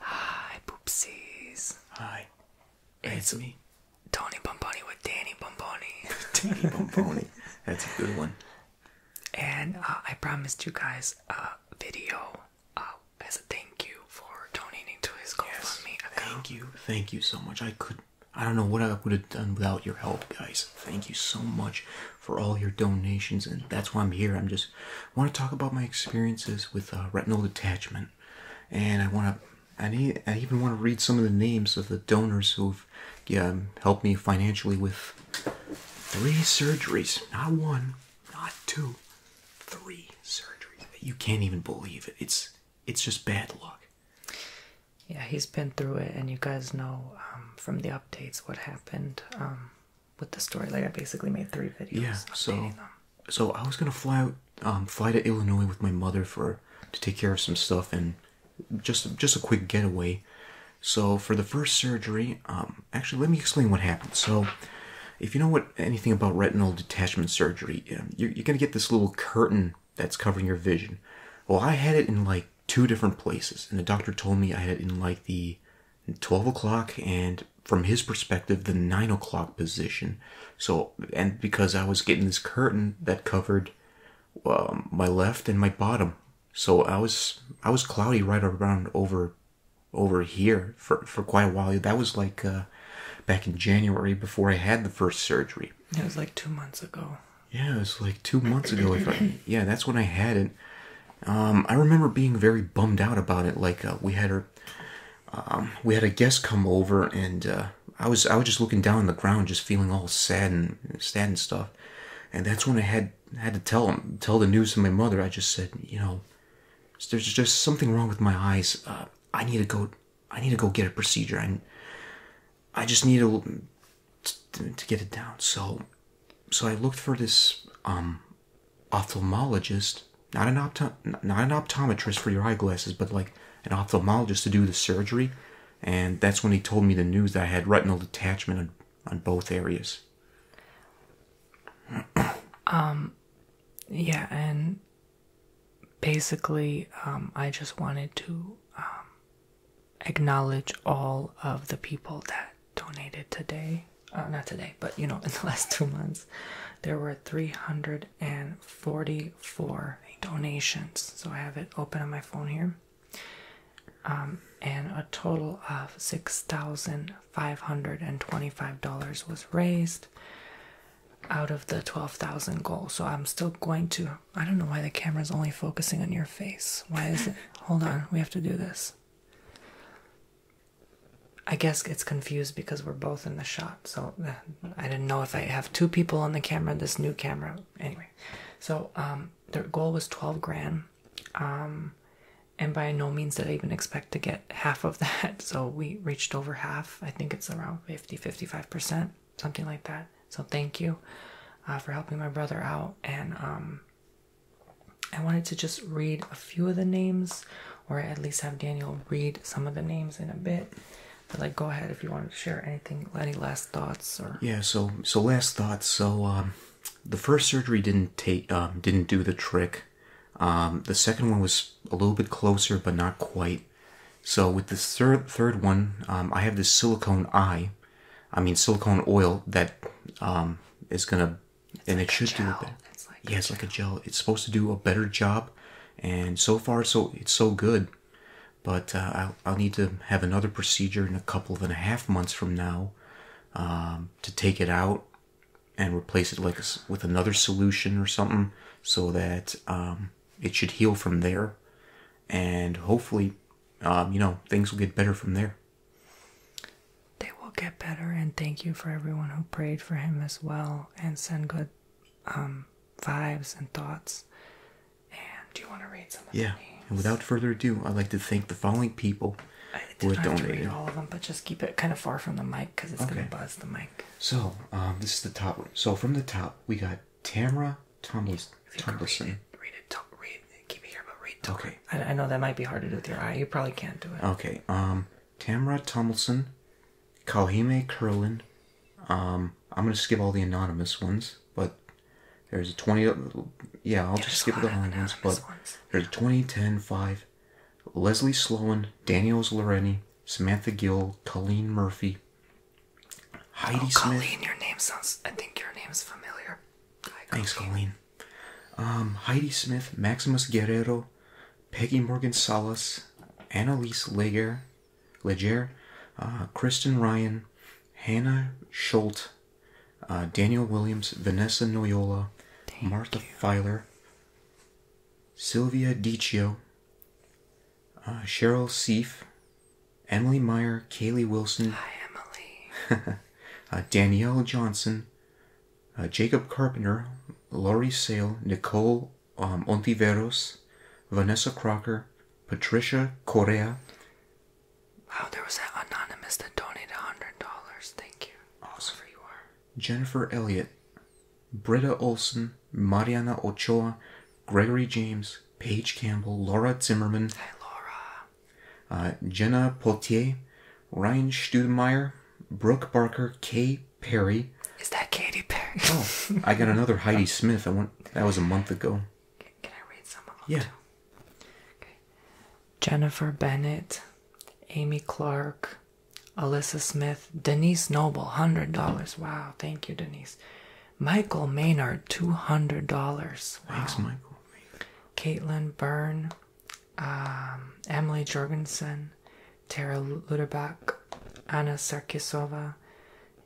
Hi, poopsies. Hi. It's, me. Tony Bomboni with Danny Bomboni. Danny Bomboni. That's a good one. And uh, I promised you guys a video uh, as a thank you for donating to his cause. yes, Thank you. Thank you so much. I could I don't know what I would have done without your help, guys. Thank you so much for all your donations, and that's why I'm here. I'm just want to talk about my experiences with uh, retinal detachment, and I want to. I, need, I even want to read some of the names of the donors who've yeah, um, helped me financially with three surgeries. Not one, not two, three surgeries. You can't even believe it. It's it's just bad luck. Yeah, he's been through it, and you guys know um, from the updates what happened. Um, with the story. Like I basically made three videos. Yeah. So so I was gonna fly out, um, fly to Illinois with my mother for to take care of some stuff and just just a quick getaway. So for the first surgery, um, actually let me explain what happened. So. If you know what anything about retinal detachment surgery, um, you're, you're gonna get this little curtain that's covering your vision. Well, I had it in like two different places, and the doctor told me I had in like the 12 o'clock and from his perspective the 9 o'clock position. So, and because I was getting this curtain that covered um, my left and my bottom. So I was I was cloudy right around over over here for for quite a while. That was like uh, back in January before I had the first surgery. It was like two months ago. Yeah, it was like two months ago. yeah, that's when I had it. Um, I remember being very bummed out about it. Like uh, we had um, we had a guest come over, and uh, I was I was just looking down on the ground, just feeling all sad and sad and stuff. And that's when I had had to tell him tell the news to my mother. I just said, you know, there's just something wrong with my eyes. Uh, I need to go. I need to go get a procedure. And I just need to to, get it down. So, so I looked for this um, ophthalmologist, not an opto, not an optometrist for your eyeglasses, but like an ophthalmologist to do the surgery. And that's when he told me the news that I had retinal detachment on, on both areas. um, yeah, and basically, um, I just wanted to um, acknowledge all of the people that donated today. Uh, not today, but you know, in the last two months, there were 344 donations. So I have it open on my phone here. Um, and a total of $6,525 was raised out of the 12,000 goal. So I'm still going to. I don't know why the camera is only focusing on your face. Why is it? Hold on, we have to do this. I guess it's confused because we're both in the shot. So uh, I didn't know if I have two people on the camera, this new camera. Anyway, so um, their goal was 12 grand. Um, and by no means did I even expect to get half of that. So we reached over half. I think it's around 50, 55%, something like that. So thank you uh, for helping my brother out. And um, I wanted to just read a few of the names, or at least have Daniel read some of the names in a bit. But like, go ahead if you want to share anything, any last thoughts or yeah. So so last thoughts. So um, the first surgery didn't take um, didn't do the trick. Um, the second one was a little bit closer, but not quite. So with the third third one, um, I have this silicone eye I mean, silicone oil that um, gonna and it should do yeah, it's like a gel. It's supposed to do a better job, and so far, so it's so good. But uh, I'll, need to have another procedure in a couple of and a half months from now um, to take it out and replace it like a, with another solution or something so that um, it should heal from there and hopefully um, you know, things will get better from there. They will get better, and thank you for everyone who prayed for him as well and send good um, vibes and thoughts. And do you want to read some Yeah, and without further ado, I'd like to thank the following people I who not donated. all of them, but just keep it kind of far from the mic because it's going to buzz the mic. So, um, this is the top So, from the top, we got Tamra Thomas. If you read it, read it, talk, read it, keep it here, but read. Talk. Okay. I, I know that might be hard to do with your eye. You probably can't do it. Okay. Um, Tamra Tomlinson, Kalhime Curlin. Um, I'm gonna skip all the anonymous ones, but there's a 20. Yeah, I'll yeah, just skip the anonymous ones. But ones. there's 20, 10, 5. Leslie Sloan, Daniels Loreni, Samantha Gill, Colleen Murphy, Heidi oh, Colleen, your name sounds. I think your name is familiar. Thanks, Colleen. Um, Heidi Smith, Maximus Guerrero, Peggy Morgan Salas, Annalise Leger, Leger, uh, Kristen Ryan, Hannah Schultz, uh, Daniel Williams, Vanessa Noyola, Martha you. Filer, Sylvia Diccio, uh, Cheryl Seif, Emily Meyer, Kaylee Wilson. Emily. Uh, Danielle Johnson, uh, Jacob Carpenter, Laurie Sale, Nicole um, Ontiveros, Vanessa Crocker, Patricia Correa. Wow, there was that anonymous that donated $100. Thank you. Awesome. Wherever you Jennifer Elliott, Britta Olson, Mariana Ochoa, Gregory James, Paige Campbell, Laura Zimmerman, Hi, Laura, uh, Jenna Potier, Ryan Studemeyer, Brooke Barker, Kay Perry. Is that Katy Perry? oh, I got another Heidi Smith. I want That was a month ago. Can, I read some of them? Yeah. Jennifer Bennett, Amy Clark, Alyssa Smith, Denise Noble, hundred dollars. Wow, thank you, Denise. Michael Maynard, $200. Thanks, Michael. Caitlin Byrne, um, Emily Jorgensen, Tara Luderbach, Anna Sarkisova,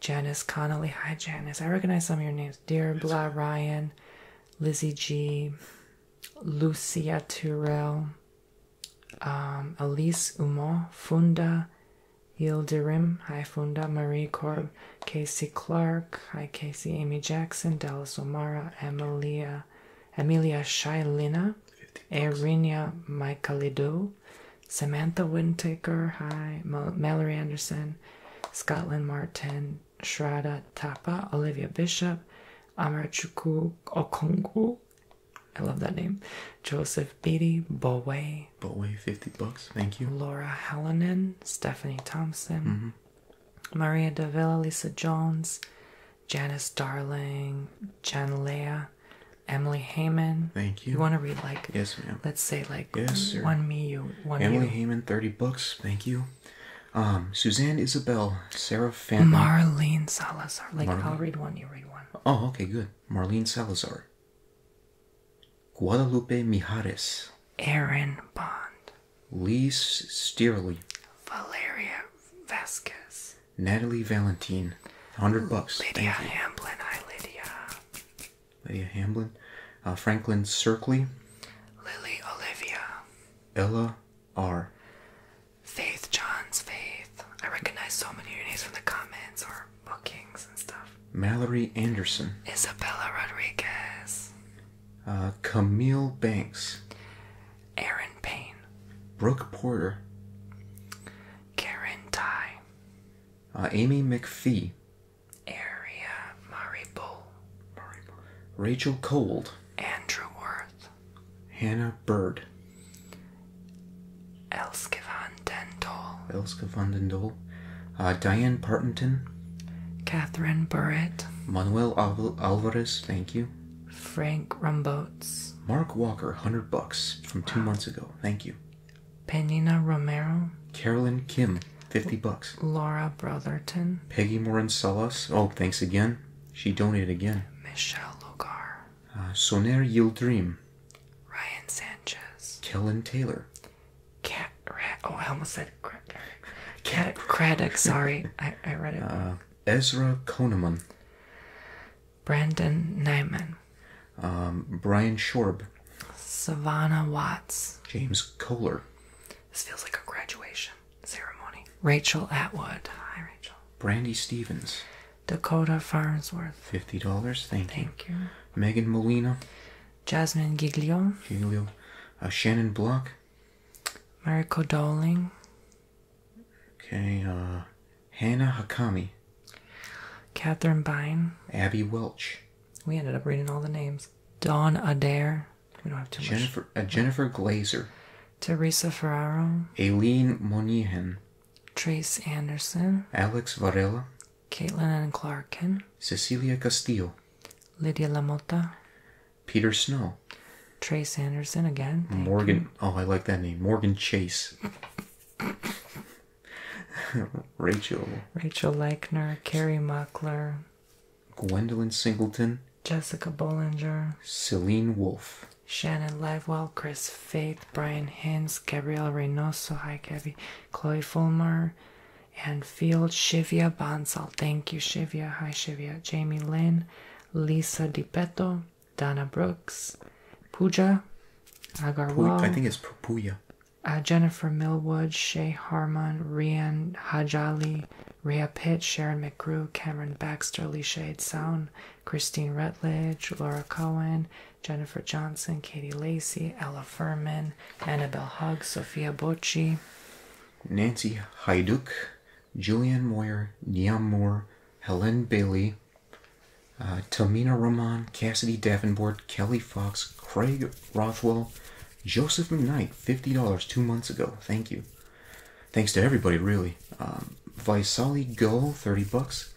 Janice Connolly. Hi, Janice. I recognize some of your names. Dear Blah Ryan, Lizzie G, Lucia Turrell, um, Elise Umar, Funda, Yildirim, Ifunda, Marie Korb, Casey Clark, Hi Casey, Amy Jackson, Dallas O'Mara, Emilia, Emilia Shailina, Erinia Michaelidou, Samantha Wintaker, Hi, Mallory Anderson, Scotland Martin, Shrada Tapa, Olivia Bishop, Amarachukwu Okongu, I love that name, Joseph Beatty, Bowe, Lee. But way 50 bucks. Thank you. Laura Hallinan, Stephanie Thompson, mm-hmm. Maria Davila, Lisa Jones, Janice Darling, Jan Leah, Emily Heyman. Thank you. You want to read like yes, ma'am. Let's say like yes, sir. one me you one Emily you. Heyman, thirty bucks. Thank you. Um, Suzanne Isabel, Sarah Fan, Marlene Salazar. Like I'll read one, you read one. Oh, okay, good. Marlene Salazar. Guadalupe Mijares, Aaron Bond, Liz Steerley, Valeria Vasquez, Natalie Valentine, hundred bucks. Lydia Hamblin, hi Lydia. Lydia Hamblin, uh, Franklin Circley, Lily Olivia, Ella R. Faith Johns Faith. I recognize so many of your names from the comments or bookings and stuff. Mallory Anderson. Isabella Rodriguez. Uh, Camille Banks. Aaron Payne. Brooke Porter. Karen Ty. Uh, Amy McFee, Area Maribol. Maribol. Rachel Cold. Andrew Worth. Hannah Bird. Elskivan Van Den uh, Diane Partington. Catherine Burritt. Manuel Alvarez, thank you. Frank Rumboats. Mark Walker, 100 bucks from two months ago. Thank you. Penina Romero. Carolyn Kim, 50 bucks. Laura Brotherton. Peggy Morin Salas. Oh, thanks again. She donated again. Michelle Logar. Uh, Soner Yildirim. Ryan Sanchez. Kellen Taylor. Cat Oh, I almost said Cat Craddock. Sorry, I read it. Uh, Ezra Koneman. Brandon Neiman, um, Brian Shorb. Savannah Watts. James Kohler. This feels like a graduation ceremony. Rachel Atwood. Hi, Rachel. Brandy Stevens. Dakota Farnsworth. Fifty dollars. Thank you. Megan Molina, Jasmine Giglio, uh, Shannon Block, Mariko Dowling, okay, uh, Hannah Hakami, Catherine Bine, Abby Welch. We ended up reading all the names. Don Adair. We don't have too Jennifer, much. Jennifer Glazer. Teresa Ferraro. Aileen Monahan. Trace Anderson. Alex Varela. Caitlin and Clarkin, Cecilia Castillo, Lydia Lamotta, Peter Snow, Trey Sanderson again, Morgan. Oh, I like that name, Morgan Chase. Rachel. Rachel Leichner, Carrie Muckler, Gwendolyn Singleton, Jessica Bollinger, Celine Wolf, Shannon Livewell, Chris Faith, Brian Hinz, Gabrielle Reynoso, hi Gabby, Chloe Fulmer, and Field, Shivya Bansal. Thank you, Shivya. Hi, Shivya. Jamie Lynn, Lisa DiPetto, Donna Brooks, Puja Agarwal. I think it's Puya. Uh, Jennifer Millwood, Shay Harmon, Rian Hajali, Ria Pitt, Sharon McGrew, Cameron Baxter, Lisha Edson, Christine Rutledge, Laura Cohen, Jennifer Johnson, Katie Lacey, Ella Furman, Annabelle Hugg, Sophia Bochi, Nancy Hayduk, Julianne Moyer, Neon Moore, Helen Bailey, uh, Tamina Roman, Cassidy Davenport, Kelly Fox, Craig Rothwell, Joseph McKnight, $50 two months ago. Thank you. Thanks to everybody, really. Um, Visali Gull, 30 bucks.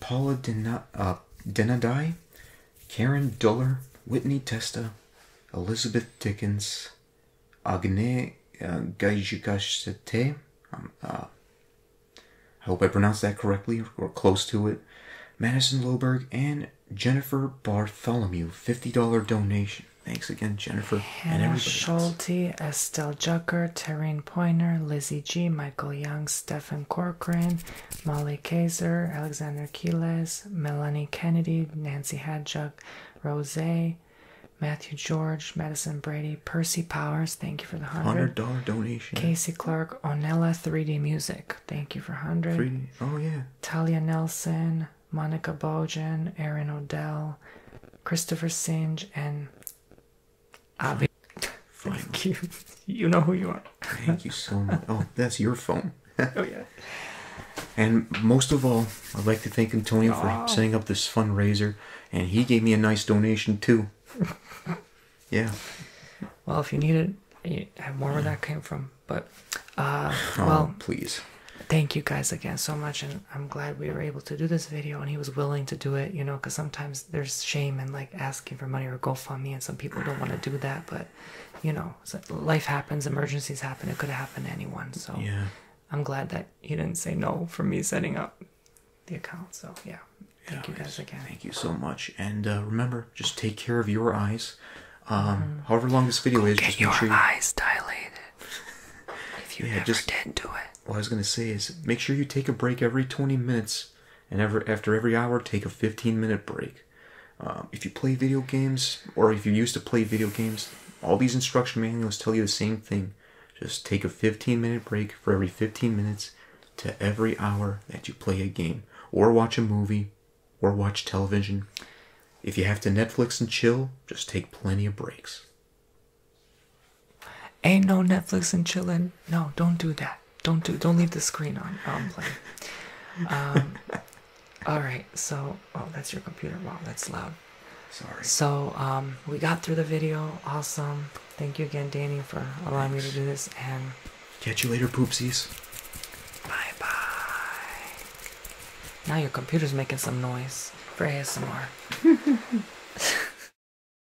Paula Dena, uh, Denadai, Karen Duller, Whitney Testa, Elizabeth Dickens, Agne uh, um, uh, I hope I pronounced that correctly or close to it. Madison Loberg and Jennifer Bartholomew, $50 donation. Thanks again, Jennifer. and Hannah and Schulte, Estelle Jucker, Terrene Pointer, Lizzie G, Michael Young, Stephen Corcoran, Molly Kaiser, Alexander Keeles, Melanie Kennedy, Nancy Hadjuk, Rose, Matthew George, Madison Brady, Percy Powers, thank you for the hundred dollar donation. Casey Clark, Onella 3D Music, thank you for hundred. Oh yeah. Talia Nelson, Monica Bojan, Aaron Odell, Christopher Singe, and Avi. Thank you. You know who you are. Thank you so much. Oh, that's your phone. oh, yeah. And most of all, I'd like to thank Antonio for oh. setting up this fundraiser, and he gave me a nice donation too. yeah. Well, if you need it, you have more where that came from. But, uh, oh, well, please. Thank you guys again so much, and I'm glad we were able to do this video, and he was willing to do it. You know, because sometimes there's shame in like asking for money or GoFundMe, and some people don't want to do that. But you know, life happens, emergencies happen. It could happen to anyone. So yeah. I'm glad that he didn't say no for me setting up the account. So yeah, thank you guys again. Thank you so much, and uh, remember, just take care of your eyes. Um, mm-hmm. however long this video is, just make sure your eyes dilate. if you yeah, never just... did do it. What I was gonna say is, make sure you take a break every 20 minutes and ever, after every hour, take a 15 minute break. Um, if you play video games, or if you used to play video games, all these instruction manuals tell you the same thing. Just take a 15 minute break for every 15 minutes to every hour that you play a game, or watch a movie, or watch television. If you have to Netflix and chill, just take plenty of breaks. Ain't no Netflix and chillin'. No, don't do that. Don't do. Don't leave the screen on. I'm playing. Um, all right. So, oh, that's your computer. Wow, that's loud. Sorry. So, um, we got through the video. Awesome. Thank you again, Danny, for allowing me to do this. And catch you later, poopsies. Bye bye. Now your computer's making some noise for more.